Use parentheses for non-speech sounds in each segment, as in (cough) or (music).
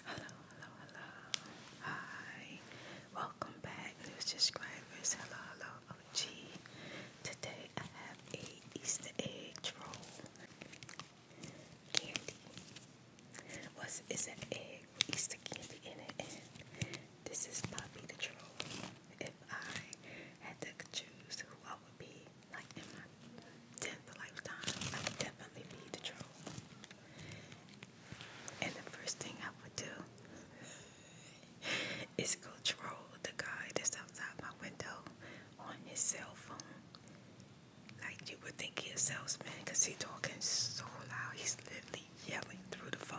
Hello, hello, hello. Hi. Welcome back, new subscribers. Hello, hello, OG. Today I have a Easter egg roll candy. What's an egg Easter candy in it this is Poppy the troll. If I had to choose who I would be like in my tenth lifetime, I would definitely be the troll. And the first thing I would do is control the guy that's outside my window on his cell phone. Like you would think he's a salesman because he's talking so loud. He's literally yelling through the phone.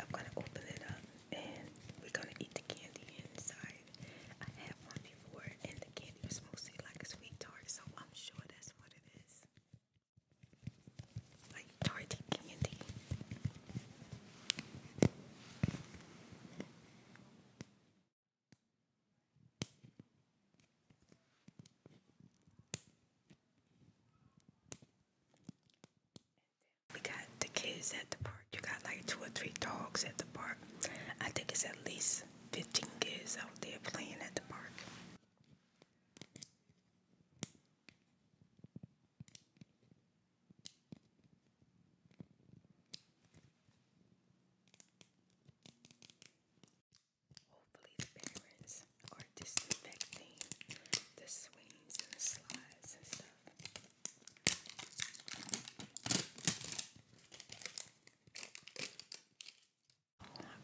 I'm gonna open it up and we're gonna eat the candy inside. I had one before and the candy was mostly like a sweet tart, so I'm sure that's what it is. Like tart candy. We got the kids at the park. You got like two or three dogs at the park. I think it's at least 15 kids out there playing at the park. Hopefully the parents or disinfecting the swings and the slides and stuff.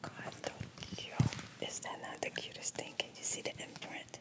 Oh my god, so Is that not the cutest thing? Can you see the imprint?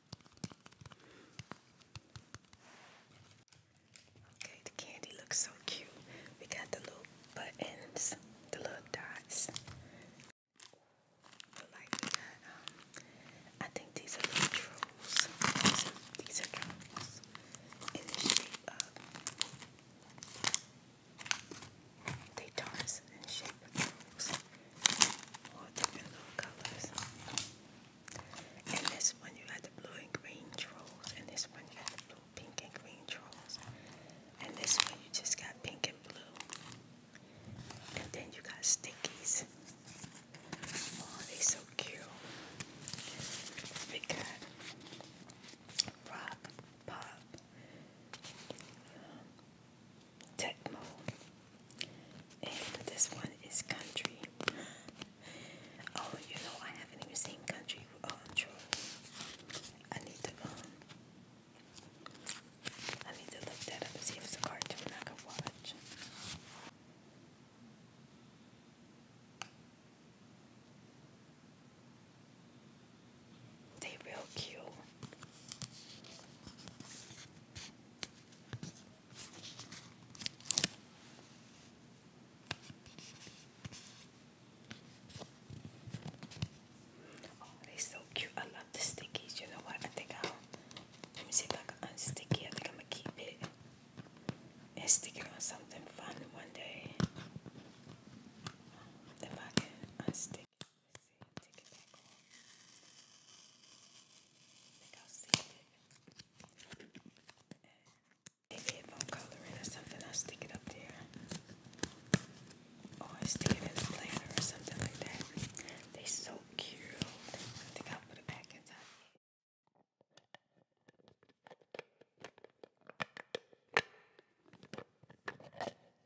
Okay, the candy looks so cute. We got the little buttons, the little dots. But like um, I think these are little trolls. These are, trolls in the shape of they and shape books, different little colors. And this one you have the blue and green trolls, and this one you got the blue, pink and green trolls, and this one you just got pink and blue. And then you got stickies. Oh, they so cute. We got rock, pop, um, Tecmo. And this one is country. (laughs) oh, you know, I haven't even seen country. Oh, uh, i I need to, um, I need to look that up and see if it's a cartoon I can watch. They real cute. Oh, they're so cute. I love the stickies. You know what? I think I'll let me see if I can unstick it. I think I'm gonna keep it and stick it on something fun one day. If I can unstick Maybe if I'm coloring or something, I'll stick it up there. Or I stick it in the planner or something like that. They so cute. I think I'll put it back inside.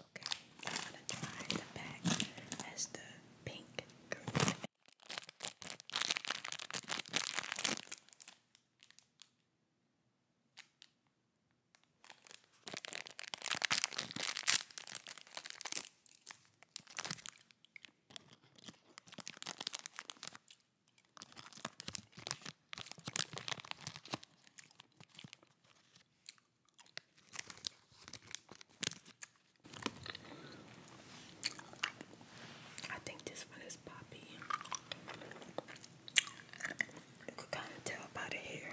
Okay, I'm gonna try the back as the pink green. I think this one is poppy. You could kind of tell by the hair.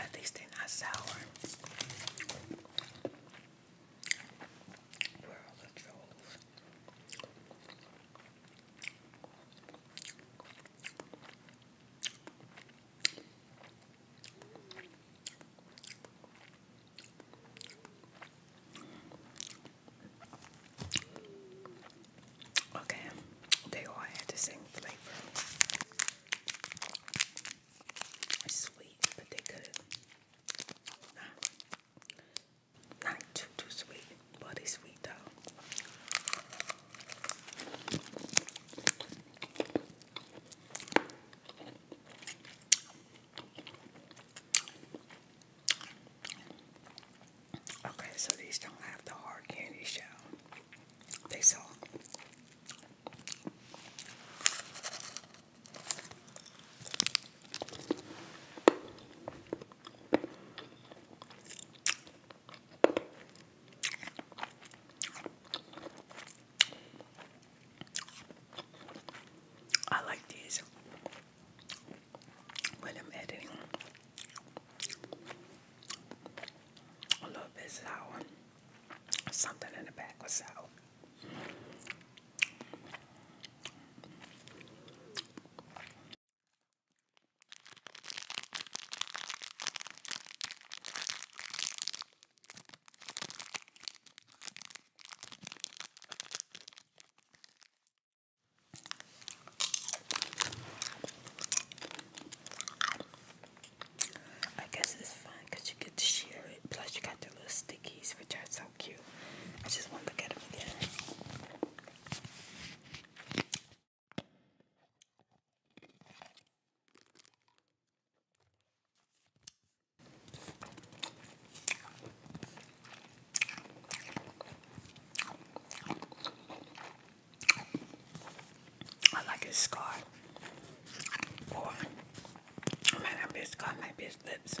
At least they're not sour. World of Trolls. Okay, they all had the same flavor. sweet, but they could. Not too too sweet, but they sweet though. Okay, so these don't have the hard candy shell. They sell. I like these when I'm editing. A little bit sour, something in the back was sour. I guess it's fun you get to share it. Plus, you got the little stickies, which are so cute. I just want to get him them again. I like his scar. Or it might scar, it might lips.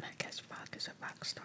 I guess Rock is a rock star.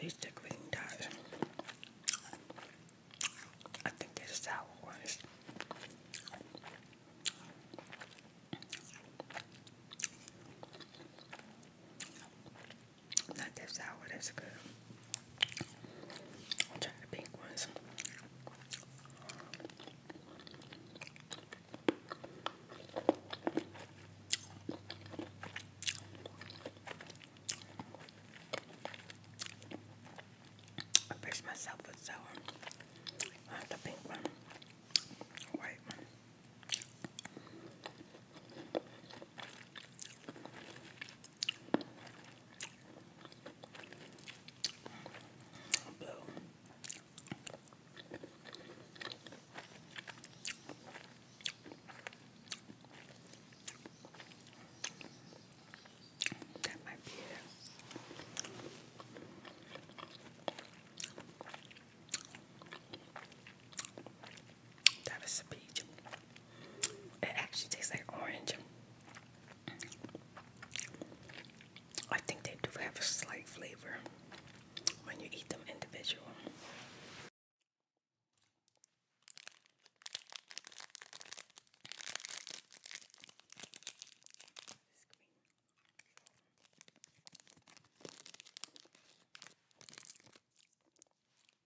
These decorating dots. I think they're sour ones. Not that sour, that's good. I'll try the pink ones. I brush myself with sour. I have the pink one, white one. Blue. That might be it. That is a peach. It actually tastes like orange. I think they do have a slight flavor when you eat them individual.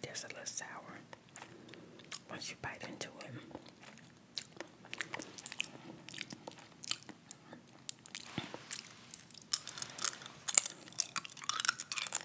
There's a little sour once you bite into it.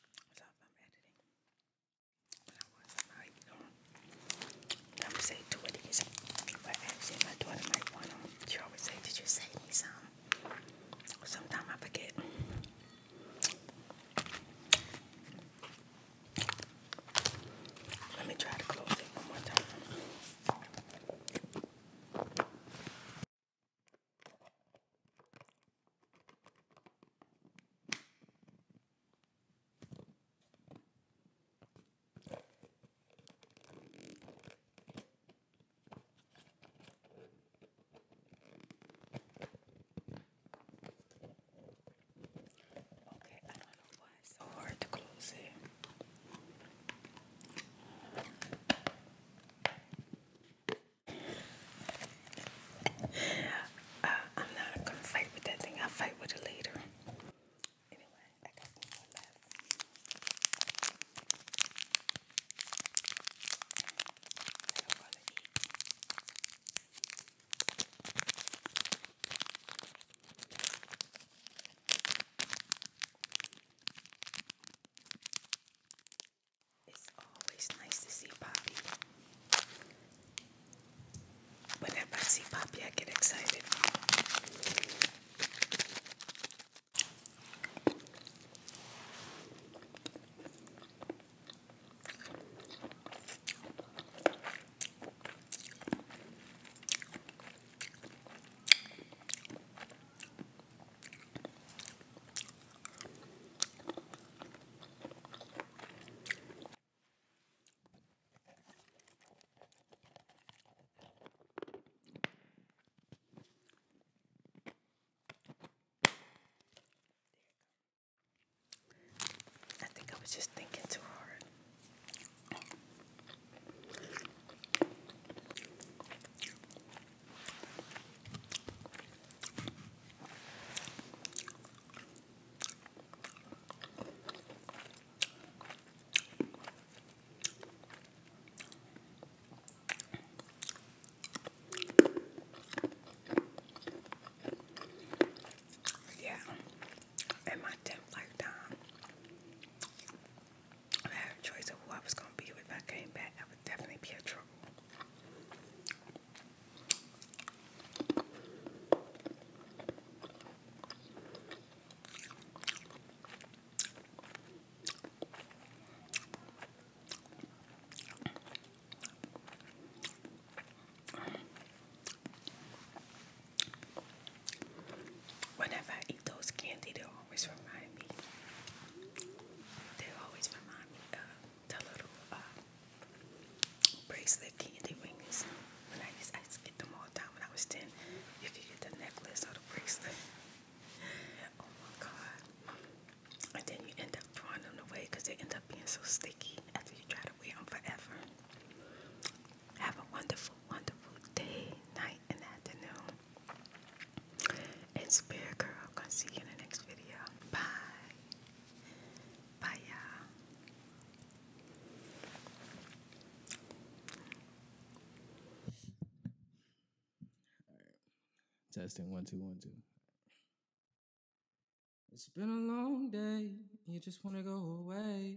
So if you say two of But actually, my daughter might want them. She always say, did you save me some? Sometimes I forget. Let me try to close it one more time. Okay, I don't know why it's so hard to close it. Uh, I'm not gonna fight with that thing. I'll fight with it later. Anyway, I got more left. It's always nice to see Poppy. Whenever I see Poppy, I get excited. I think I was just thinking too hard. Yeah, in my 10th lifetime, I had a choice of who I was gonna be if I came back, I would definitely be in trouble whenever I eat those candy, they always remind me. They always remind me of the little um, bracelet candy rings. When I I used to get them all the time when I was 10. You could get the necklace or the bracelet. (laughs) Oh my God. And then you end up throwing them away because they end up being so sticky after you try to wear them forever. Have a wonderful, wonderful day, night, and afternoon and spirit girl. Gonna see you in the next video. Bye. Bye y'all. Alright. Testing one two one two. It's been a long day. You just wanna go away.